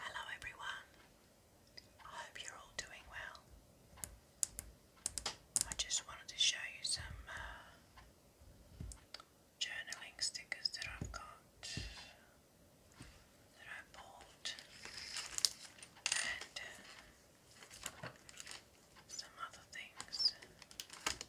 Hello everyone, I hope you're all doing well. I just wanted to show you some uh, journaling stickers that I've got, that I bought, and uh, some other things.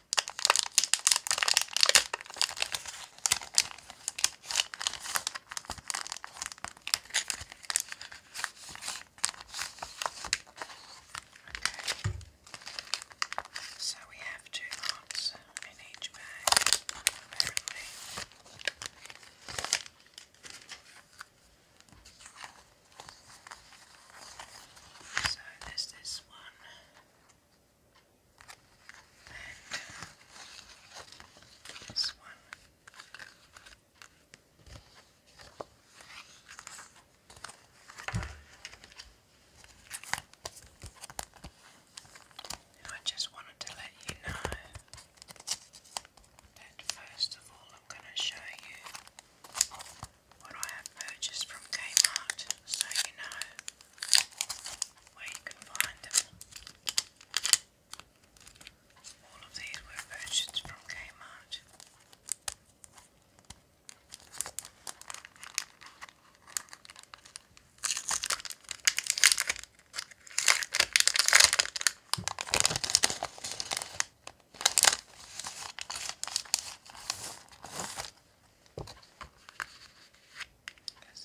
Okay. So we have two lots in each bag, apparently. So there's this one, and this one. I just wanted to let you know that first of all I'm going to show you what I have purchased from Kmart so you know where you can find them. All of these were purchased from Kmart. Because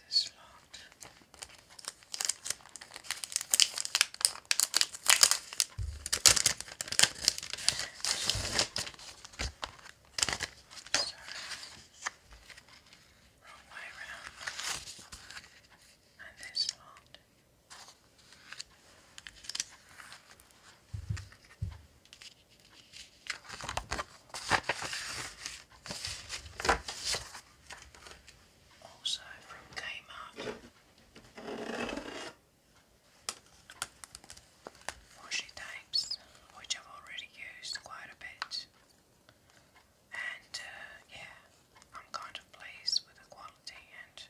it's locked. I'm sorry. Wrong way around. And this locked. Also from Kmart washi tapes, which I've already used quite a bit, and uh, yeah, I'm kind of pleased with the quality and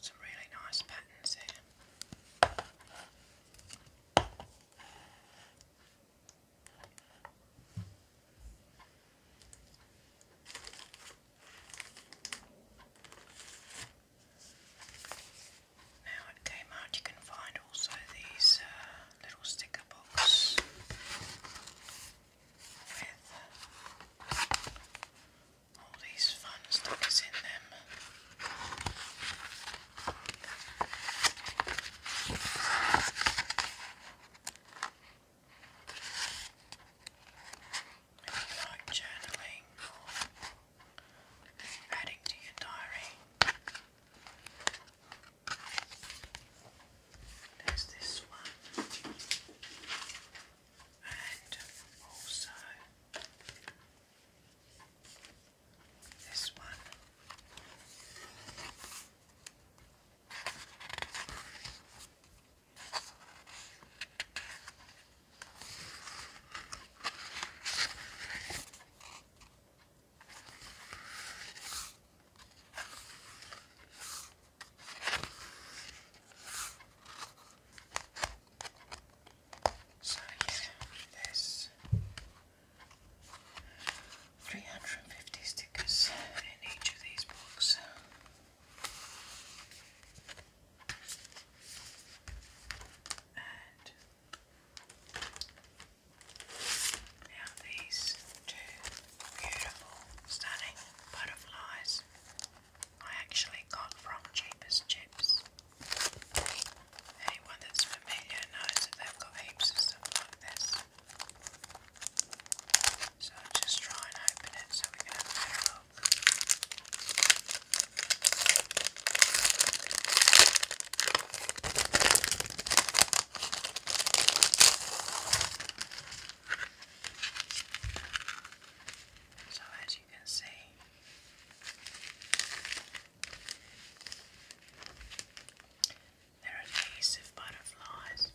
some really nice patterns here. Now at Kmart you can find also these uh, little sticker books with all these fun stickers in them. journaling adding to your diary. There's this one and also this one. So he's 350 stickers in each of these books. And now these two beautiful, stunning butterflies. I actually got from Cheapest Chips. Anyone that's familiar knows that they've got heaps of stuff like this. So just try and open it so we can have a look. So as you can see. They're adhesive butterflies.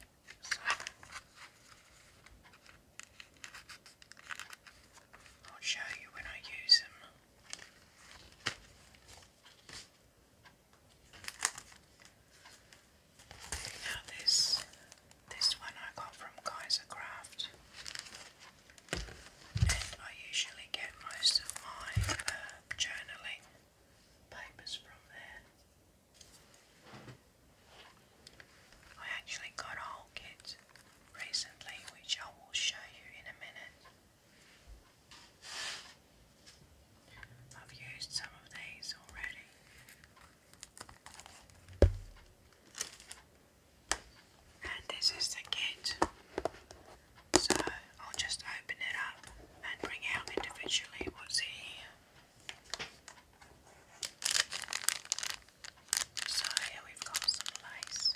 I'll show you when I use them. Now, this this one I got from Kaiser Craft, and I usually get most of my uh, journaling papers from there. I actually got a whole kit recently, which I will show you in a minute. I've used some of these already. And this is the kit. So I'll just open it up and bring out individually what's here. So here we've got some lace.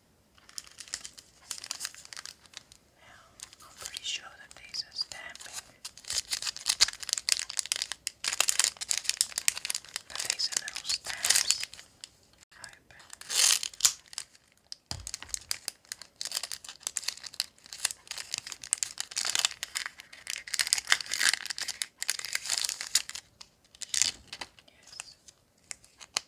Now, I'm pretty sure that these are stamping. But these are little stamps. Yes. So, here we have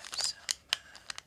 some uh,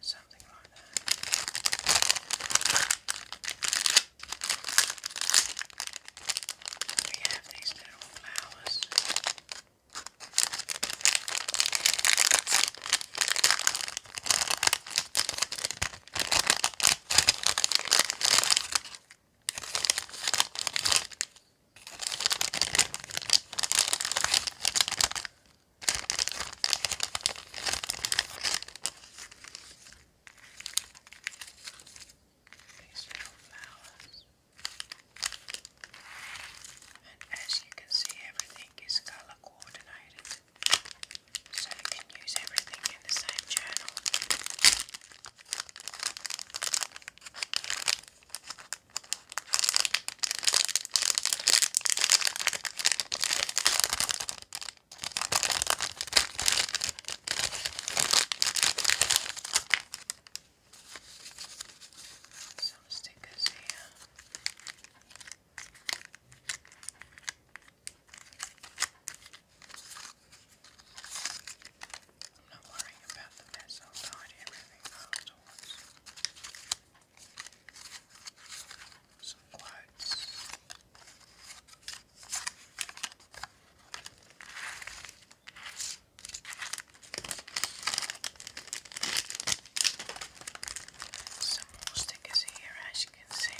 something like that. We have these little flowers. These little flowers. And as you can see, everything is color coordinated, so you can use everything in the same journal. Some stickers here. I'm not worrying about the mess, I'll tidy everything afterwards some lights. Some more stickers here, as you can see.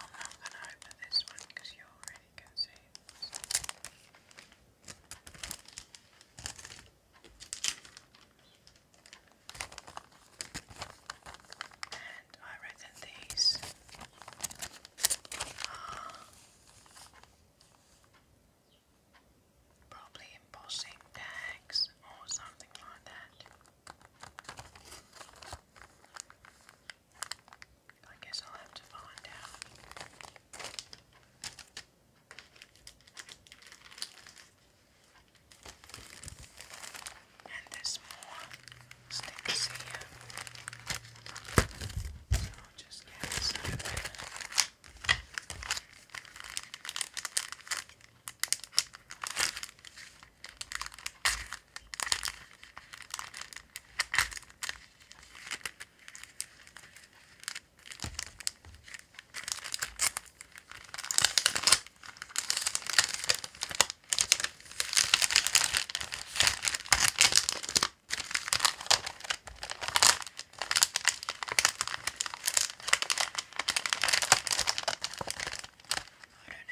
I'm not going to open this one because you already can see and I reckon these are probably embossing tags or something like that. I guess I'll have to find out. And there's more stickers here. So I'll just get some of that. I don't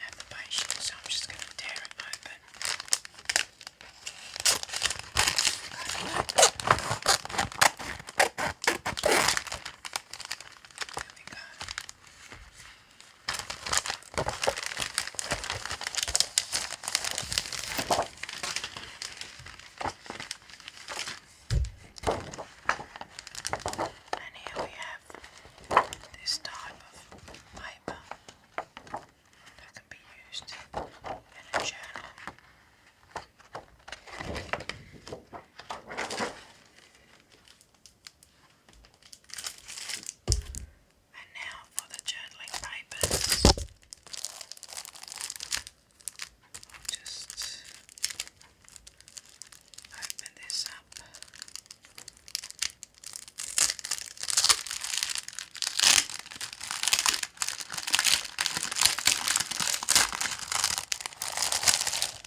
have the patience, so I'm just going to tear it open. There we And here we have this type of paper that can be used in a journal and now for the journaling papers. just open this up.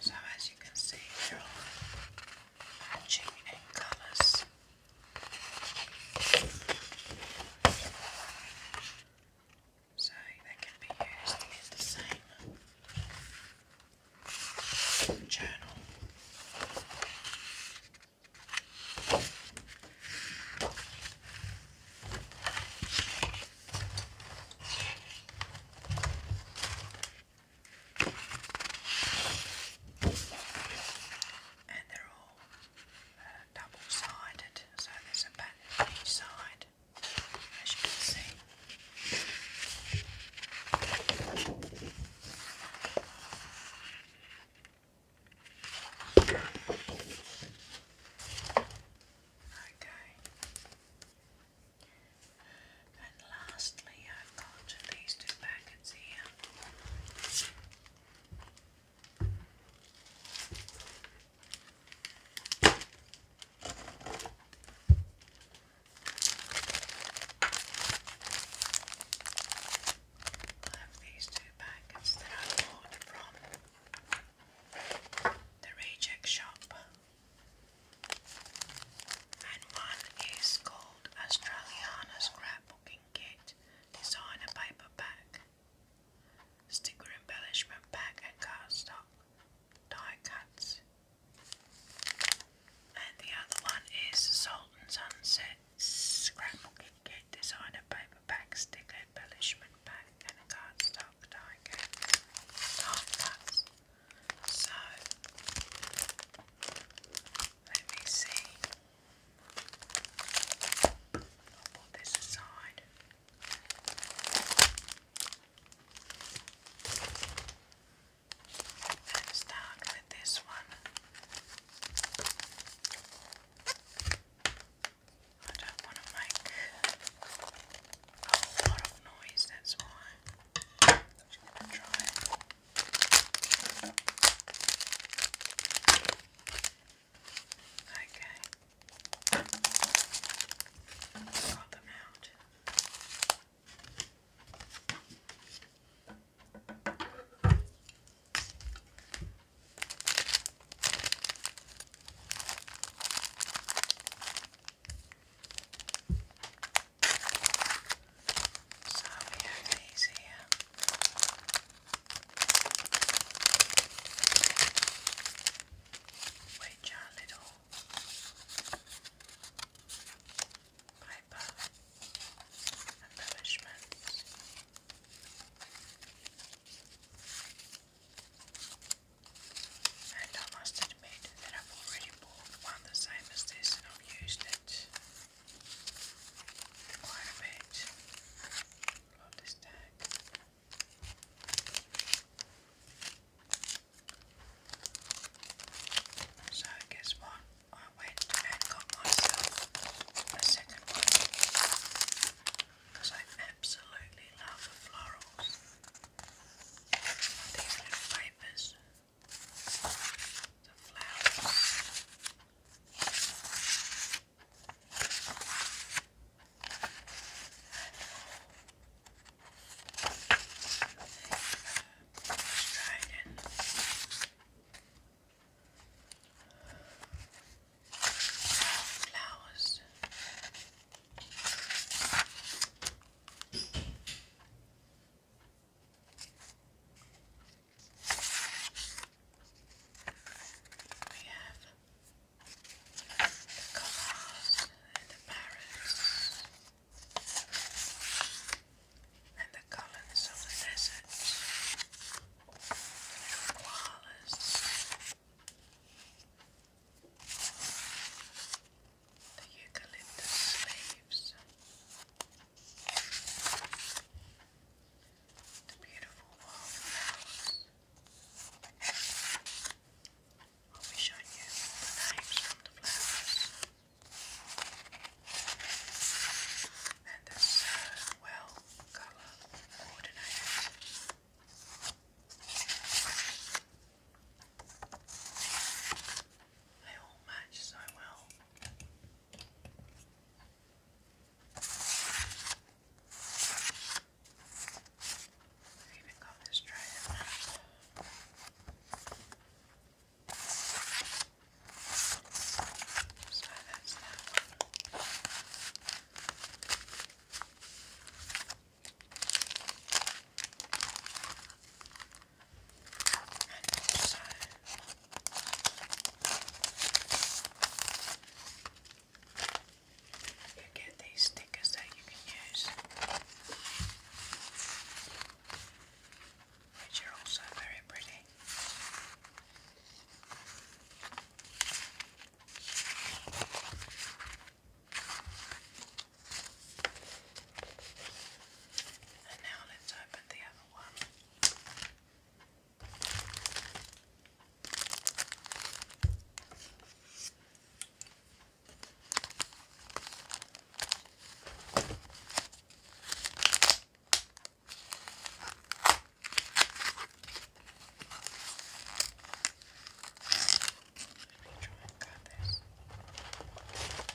So as you can see, they're all matching in colours. So they can be used in the same journal. And they're all uh, double-sided, so there's a each side, as you can see. Okay. And lastly, I've got these two packets here. I have these two packets that I bought from the Reject Shop. And one is called Australiana Scrapbooking Kit Designer Paper Pack, Sticker Embellishment Pack and Cardstock, Die Cuts. And the other one is Sultan Sunset Scrapbooking Kit Designer Paper Pack, Sticker Embellishment Pack and Cardstock Die Die Cuts. So let me see. put this aside. And start with this one. I don't want to make a lot of noise, that's why just gonna try. Okay. Got them out. Okay. So we have these Which are little paper embellishments. And I must admit that I've already one the same as this and I've used it quite a bit. Love this tag. So guess what? I went and got myself a second one because I absolutely love the florals. These little papers the flowers. Dragon. Flowers. We have the koalas and the parrots and the columns of the desert. The little the eucalyptus leaves, the beautiful wildflowers. all the names from the flowers. And they uh, well colour coordinated. They all match so well. even got this tray So that's that and you get these stickers that you can use, which are also very pretty. And now let's open the other one. Let me try and cut this.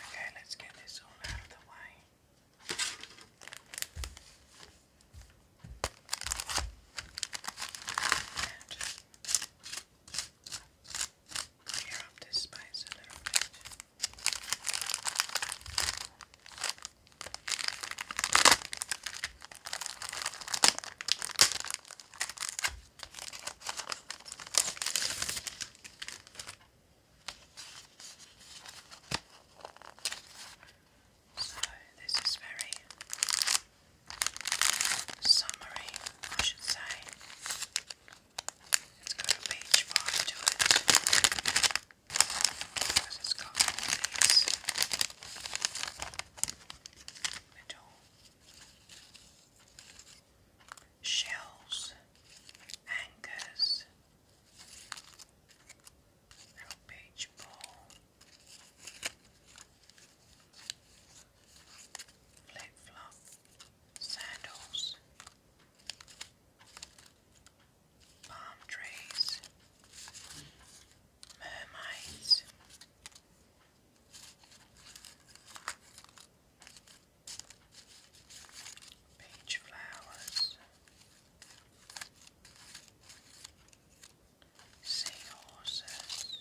Okay, let's get this all out of the way. And clear up this space a little bit. Okay, so, this is very summery, I should say. It's got a beach vibe to it because it's got all these little shells, anchors, little beach ball, flip flop, sandals, palm trees, mermaids peach flowers, seahorses,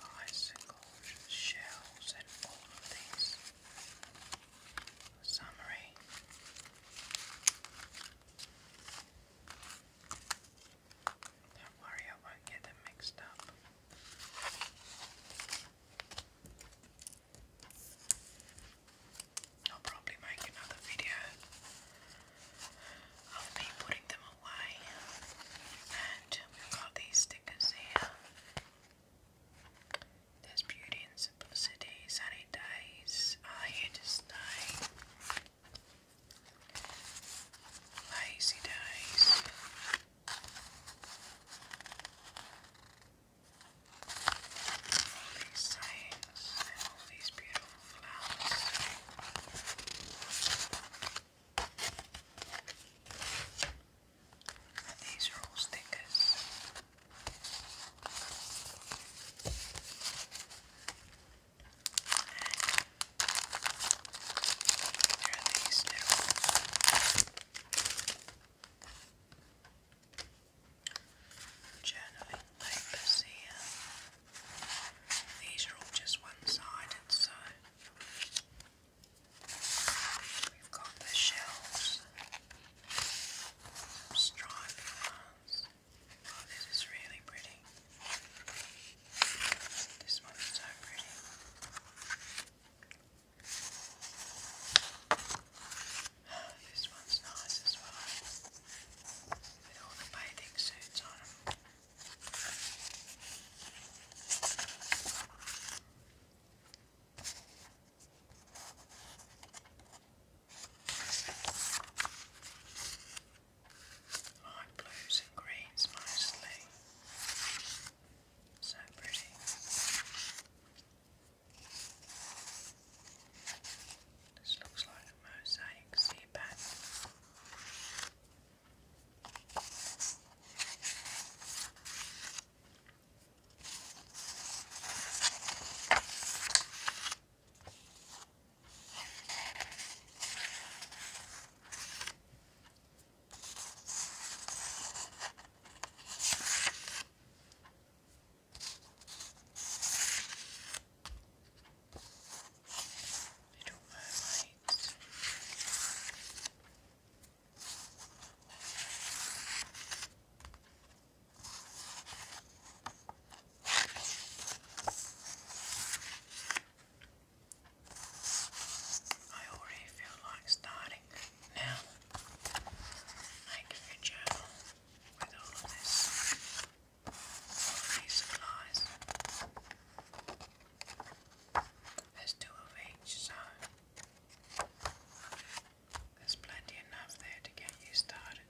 bicycles, shells, and all of these. Summary. Don't worry, I won't get them mixed up. I'll probably make another video of me putting them away. And got these stickers here. There's beauty and simplicity, sunny days are here to stay. Lazy days. All these signs and all these beautiful flowers. these are all stickers. There are these little These are all just one-sided, so we've got the shells, some Oh, this is really pretty. This one's so pretty. This one's nice as well, with all suits on them. Light blues and greens mostly. So pretty. This looks like a mosaic sea bat. I don't know why. I already feel like starting now making a journal with all of this, all supplies. There's two of each, so there's plenty enough there to get you started.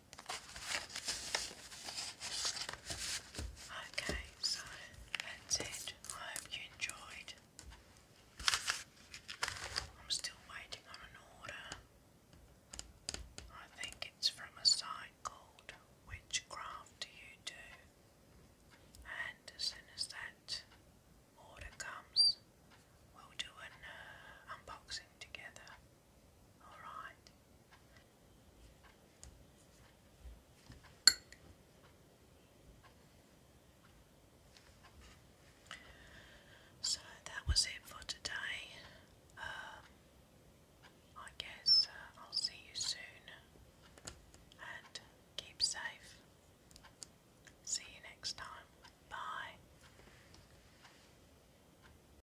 Okay, so that's it. I hope you enjoyed. I'm still waiting on an order. I think it's from a site called Witchcraft Do You Do? And as soon as that order comes, we'll do an uh, unboxing together. All right. So that was it for today. Um, I guess uh, I'll see you soon and keep safe. See you next time. Bye.